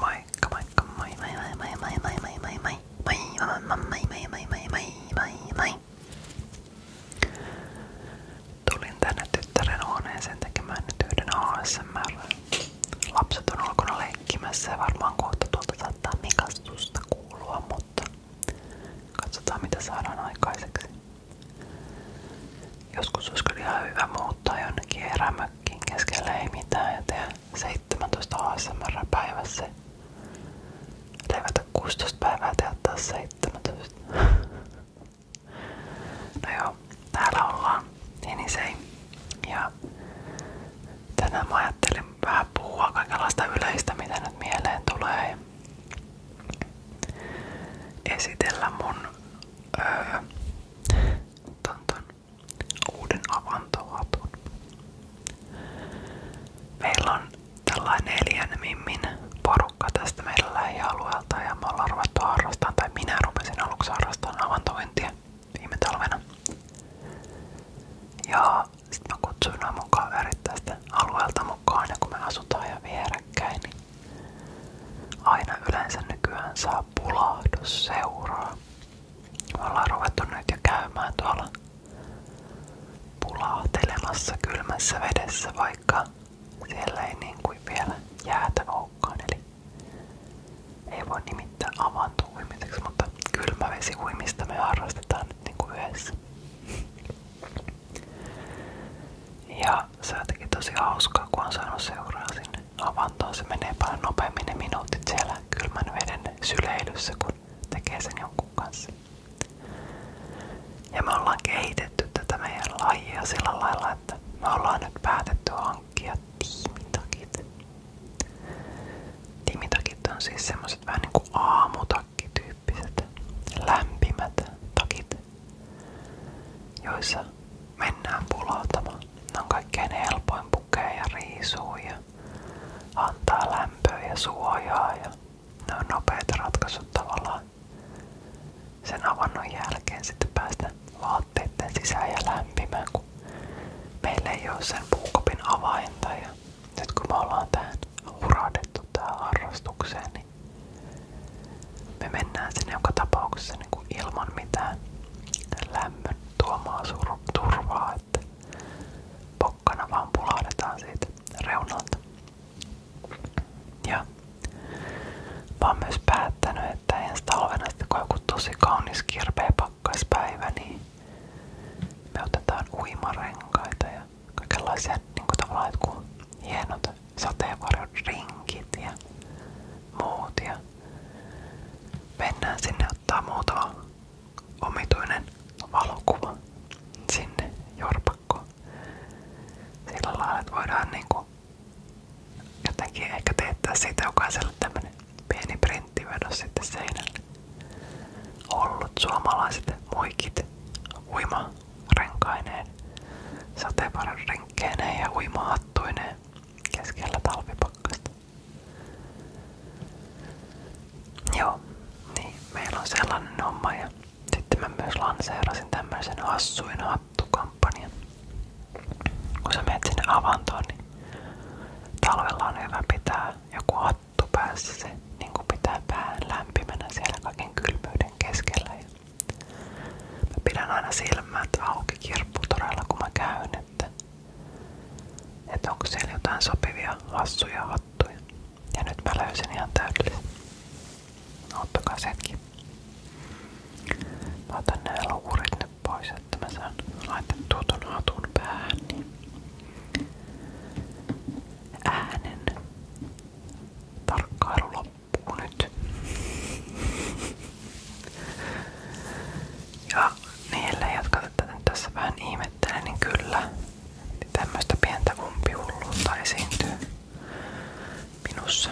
Moikka moikka moi moi moi moi moi moi moi moi moi moi moi moi moi moi moi moi moi Tulin tänne tyttären huoneeseen tekemään nyt yhden ASMR. Lapset on ulkona leikkimässä ja varmaan kohta tuolta saattaa mikastusta kuulua, mutta katsotaan mitä saadaan aikaiseksi. Joskus olisi kyllä ihan hyvä muuttaa jonnekin erämöön mökkiin keskellä ei mitään ja tehdä 17 ASMR päivässä. Levätä 16 päivää ja tehdä taas 17. No joo, täällä ollaan Enisei. Ja tänään mä ajattelin vähän puhua kaikenlaista yleistä, mitä nyt mieleen tulee. Esitellä mun öö, ton, ton uuden avantohatun. Meillä on tällainen neljän mimmin porukka tästä meidän lähialueelta ja me ollaan ruvettu harrastamaan, tai minä rupesin aluksi harrastamaan avantointia viime talvena. Ja sit mä kutsuin nämä mun kaverit tästä alueelta mukaan ja kun me asutaan ja vierekkäin, niin aina yleensä nykyään saa sanaa pulahdus seuraa. Me ollaan ruvettu käymään tuolla pulahtelemassa kylmässä vedessä, vaikka siellä ei niin kuin vielä jäätä olekaan. Eli ei voi nimittää avaantuuimiseksi, mutta kylmävesiuimista me harrastetaan nyt niin kuin yhdessä. Ja se on jotenkin tosi hauskaa, kun on saanut seuraa sinne avantoon. Se paljon nopeammin ne minuutit siellä kylmän veden syleilyssä, kun tekee jonkun kanssa. Ja me ollaan kehitetty tätä meidän lajia sillä lailla, että me ollaan nyt päätetty hankkia tiimitakit. Tiimitakit on siis semmoset vähän niinku aamutakki-tyyppiset lämpimät takit, joissa mennään pulahtamaan. Ne on kaikkein helpoin pukea ja riisua ja antaa lämpöä ja suojaa. Ja ne on nopeat ratkaisut tavallaan. Sen avannon jälkeen sitten päästä vaatteiden sisään ja lämpimään, kun meillä ei ole sen puukopin avainta. Ja nyt kun me ollaan tähän hurahdettu tähän harrastukseen, niin me mennään sinne joka tapauksessa niin kuin ilman mitään lämmön tuomaa turvaa, että pokkana vaan pulahdetaan siitä reunalta. Ja mä myös päättänyt, että ensi talvena sitten kun on joku kaunis kirpeä pakkaspäivä, niin me otetaan uimarenkaita ja kaikenlaisia niin kuin tavallaan jotkut hienot sateenvarjo rinkit ja muut. sinne ottaa muutama omituinen valokuva sinne jorpakkoon. Sillä lailla, että voidaan niinku jotenkin ehkä teettää siitä jokaiselle tämmönen pieni printtivedos sitten seinälle. Ollut suomalaiset muikit uima renkaineen sateenvarjon keneen ja uimahattuineen keskellä talvipakkasta. Joo, niin meillä on sellainen homma ja sitten mä myös lanseerasin tämmöisen hassuin hattukampanjan. Kun sä menet sinne niin talvella on hyvä pitää joku hattu päässä se niin pitää pään lämpimänä siellä kaiken kylmyyden keskellä. Ja Mä pidän aina silmät auki kirpputoreilla kun mä käyn, että, että onko siellä jotain sopivia hassuja hattuja. Ja nyt mä löysin ihan täydellisen. Ottakaa setkin. Mä otan nää luurit nyt pois, että mä saan laitettua ton hatun päähän. Niin äänen tarkkailu loppuu loppuu nyt. Ja niille, jotka tätä nyt tässä vähän ihmettelee, niin kyllä niin tämmöistä pientä umpihulluutta esiintyy minussa.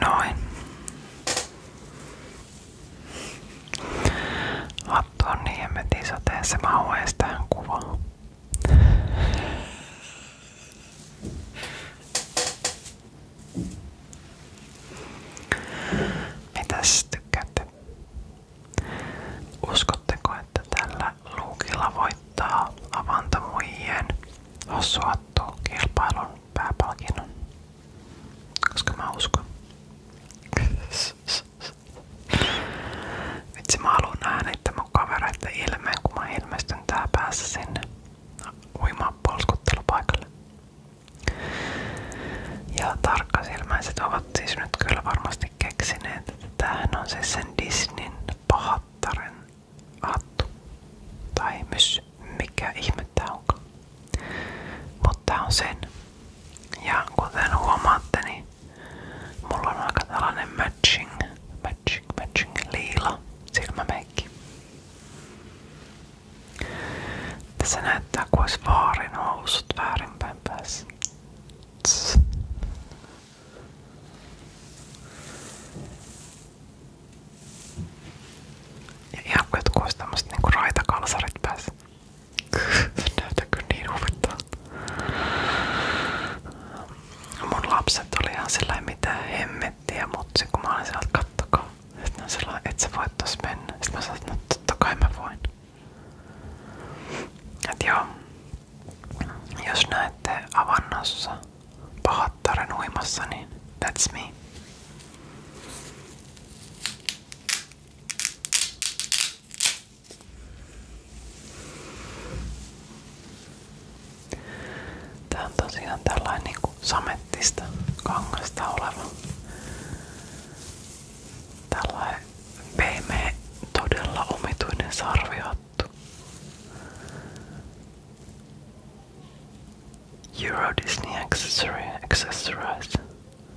Noin. Vattu on niin hemmetin sateessa, mä hues tähän kuvaan. Mitäs tykkäätte? Uskotteko, että tällä luukilla voittaa avantamuijien osuattu kilpailun pääpalkinnon? Koska mä uskon. Vitsi mä haluan nähdä niiden mun kavereiden ilmeen, kun mä ilmestyn tää päässä sinne uimaan polskuttelupaikalle. Ja tarkkasilmäiset ovat siis nyt kyllä varmasti keksineet, että tämähän on siis sen Disneyn pahattaren hattu. Tai myös mikä ihme tää onkaan. Mutta on sen. Ja kuten huomaatte, niin mulla on aika tällainen matching, matching, matching liila silmämeikki. Tässä näyttää kuin olisi vaarin housut väärinpäin päässä. Tss. Ja ihan jotkut olisi tämmöset niinku raitakalsarit päässä. Se näyttää kyllä niin huvittavalta. Mun lapset oli ihan sellainen mitään hemmettiä, mutta kun mä olin sieltä, kattokaa. Sitten on sellainen, et sä voit tos mennä. Sitten mä sanoin, että no, totta kai mä voin. Et joo. Jos näette avannossa pahattaren uimassa, niin that's me. Tää on tosiaan tällainen niinku samettista kangasta oleva. Tällainen pehmeä, todella omituinen sarvihattu. Euro Disney Accessory Accessories.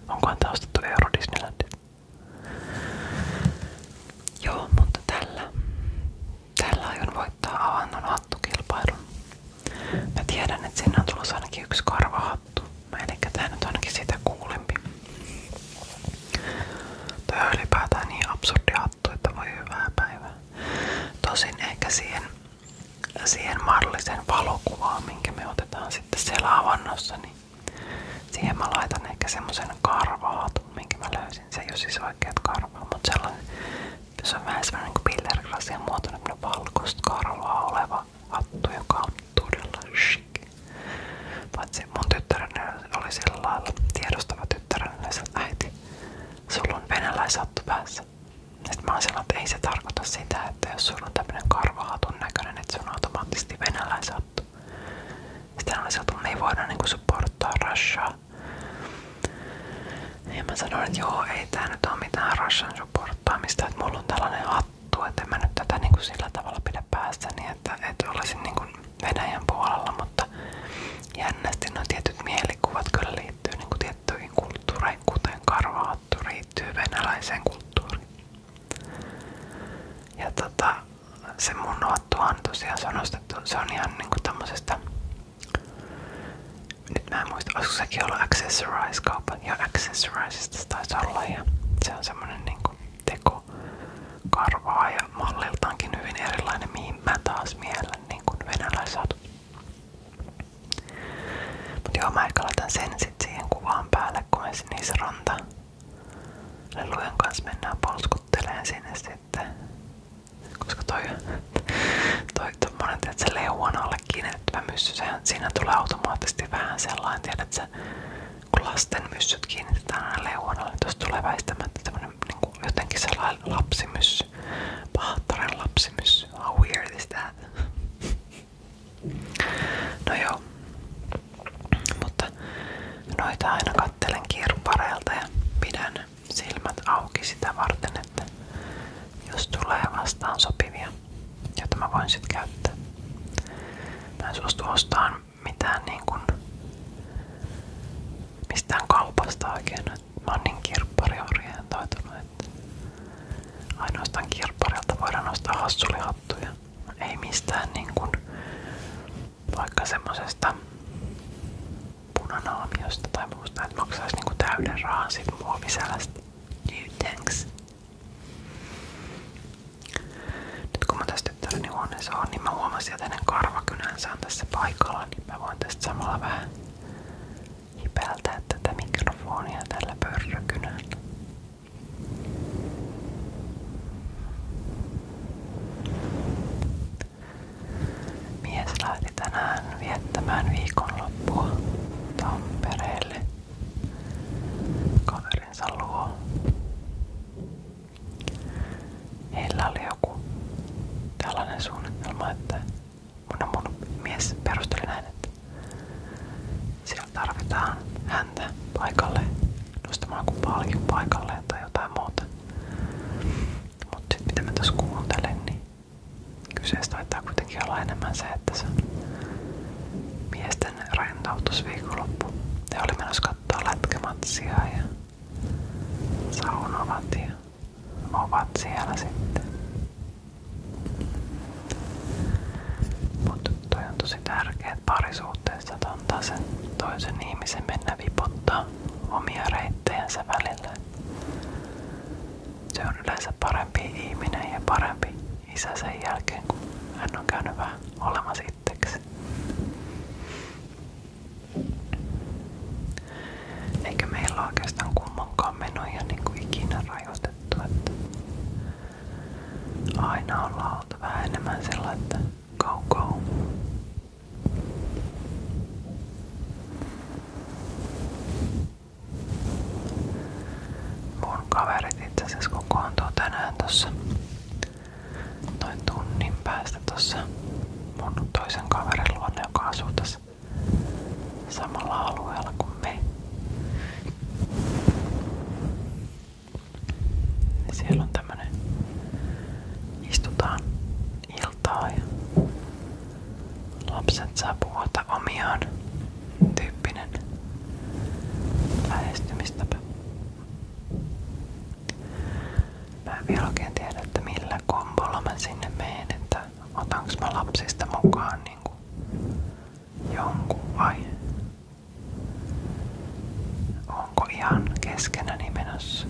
Onkohan tää ostettu Euro Disneylandista? Joo, mutta tällä, tällä aion voittaa avannon hattukilpailun. Mä tiedän, että sinne on tulossa ainakin yksi karvahattu. Eli tää nyt ainakin sitä kuulempi. Tää on ylipäätään niin absurdi hattu, että voi hyvää päivää. Tosin ehkä siihen siihen mallisen valokuvaan, minkä me otetaan sitten siellä avannossa, niin siihen mä laitan ehkä semmosen karvaatun, minkä mä löysin. Se ei ole siis oikeat karvaa, mutta sellainen, se on vähän semmoinen niin pillerglassien muotoinen valkoista karvaa oleva hattu, joka on todella chic. Paitsi mun tyttäreni oli sillä lailla tiedostava tyttäreni, että äiti, sulla on venäläishattu päässä. Sitten mä oon sanonut, että ei se tarkoita sitä, että jos sulla on tämmönen karvahatun näköinen, että se on automaattisesti venäläishattu. Sitten on sanottu, että me ei voida niinku supporttaa Russia. Ja mä sanoin, että joo, ei tää nyt oo mitään Russian supporttaamista, että mulla on tällainen hattu, että en mä nyt tätä niinku sillä tavalla pidä päässäni, että, että olisin niinku Venäjän puolella, mutta jännästi nuo tietyt mielikuvat kyllä liittyy niin kuin tiettyihin kuten karvahattu liittyy venäläiseen Ja tota, se mun nuottua on tosiaan se on ostettu, se on ihan niinku tämmöisestä, nyt mä en ja Accessorizesta se taisi se on semmonen niinku teko karvaa ja malliltaankin hyvin erilainen, mihin mä taas mielen niinku venäläishatut. Mut joo, mä ehkä laitan sen sit siihen kuvaan päälle, kun ensin niissä ranta. Lelujen kanssa mennään polskutteleen sinne sitten. Koska toi, toi tommonen, että se leuan alle kiinnitettävä myssy, sehän siinä tulee automaattisesti vähän sellainen, tiedät sä, kun lasten myssyt kiinnitetään aina leuan alle, niin. tulee väistämättä Niinku jotenkin sellainen lapsimyssy. Pahattaren lapsimyssy. How weird is that? No joo. Mutta noita aina kattelen kirppareilta ja pidän silmät auki sitä varten, että jos tulee vastaan sopivia, joita mä voin sitten käyttää. Mä en suostu ostamaan mitään niin kuin mistään kaupasta oikein mä oon niin kirppariorientoitunut, että ainoastaan kirpparilta voidaan nostaa hassulihattuja. Ei mistään niin vaikka semmosesta punanaamiosta tai muusta, että maksaisi niin kuin täyden rahan sit muoviselästä. No thanks. Nyt kun mä tässä tyttäreni huoneessa on, niin tässä paikalla, niin mä voin tästä samalla hipeltää tätä mikrofonia tällä pörrökynällä. Mies lähti tänään viettämään viikonloppua Tampereelle kaverinsa luo. Heillä oli joku tällainen suunnitelma, että mun, mun mies perusteli näin, että siellä tarvitaan häntä paikalle nostamaan joku palkin paikalle tai jotain muuta. Mutta sit mitä mä tässä kuuntelen, niin kyseessä taitaa kuitenkin olla enemmän se, että se miesten rentoutus viikonloppu. Ne oli menossa katsoa lätkämatsia ja saunovat ja ovat siellä sitten. Mutta toi on tosi tärkeä, että parisuhteessa antaa sen toisen ihmisen mennä viputtaa omia reittejensä välillä. Se on yleensä parempi ihminen ja parempi isä sen jälkeen, kun hän on käynyt vähän olemassa itseksi. Eikä meillä oikeastaan kummankaan menoja niin kuin ikinä rajoitettu. Että aina ollaan oltu vähän enemmän sillä, että go, go. Mun kaverit itse asiassa kokoontuu tänään tossa noin tunnin päästä sitten tuossa mun toisen kaverin luonne, joka asuu tässä samalla alueella kuin me. Siellä on tämmönen, istutaan iltaa ja lapset saa puhuta omiaan tyyppinen Mä en vielä oikein tiedä, että millä kombolla mä sinne menen, että otanko mä lapsista mukaan niin kuin jonkun vai onko ihan keskenäni menossa.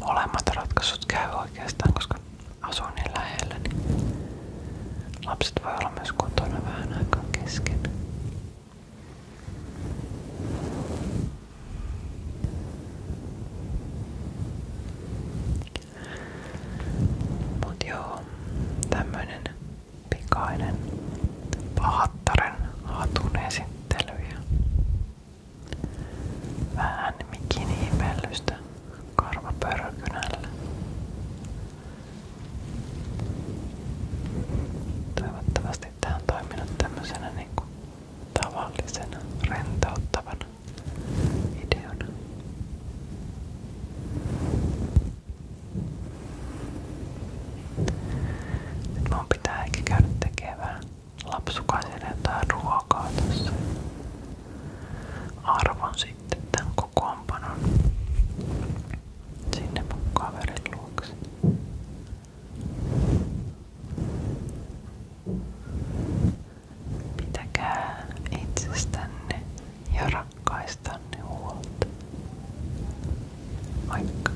Molemmat ratkaisut käy oikeastaan, koska asuu niin lähellä, niin lapset voi olla myös kotona vähän aikaa kesken. Mut joo, tämmönen pikainen pahattaren hatun esittely ja Vähän mikiniipellystä karvapörkynällä. Toivottavasti tämä on toiminut tämmöisenä niin kuin tavallisena, rentouttavana videona. Nyt mun pitää ehkä käydä tekemään lapsukainen jättää ruokaa tässä. Arvon sitten tämän kokoonpanon sinne mun kaverin luokse. Pitäkää itsestänne ja rakkaistanne huolta. Moikka!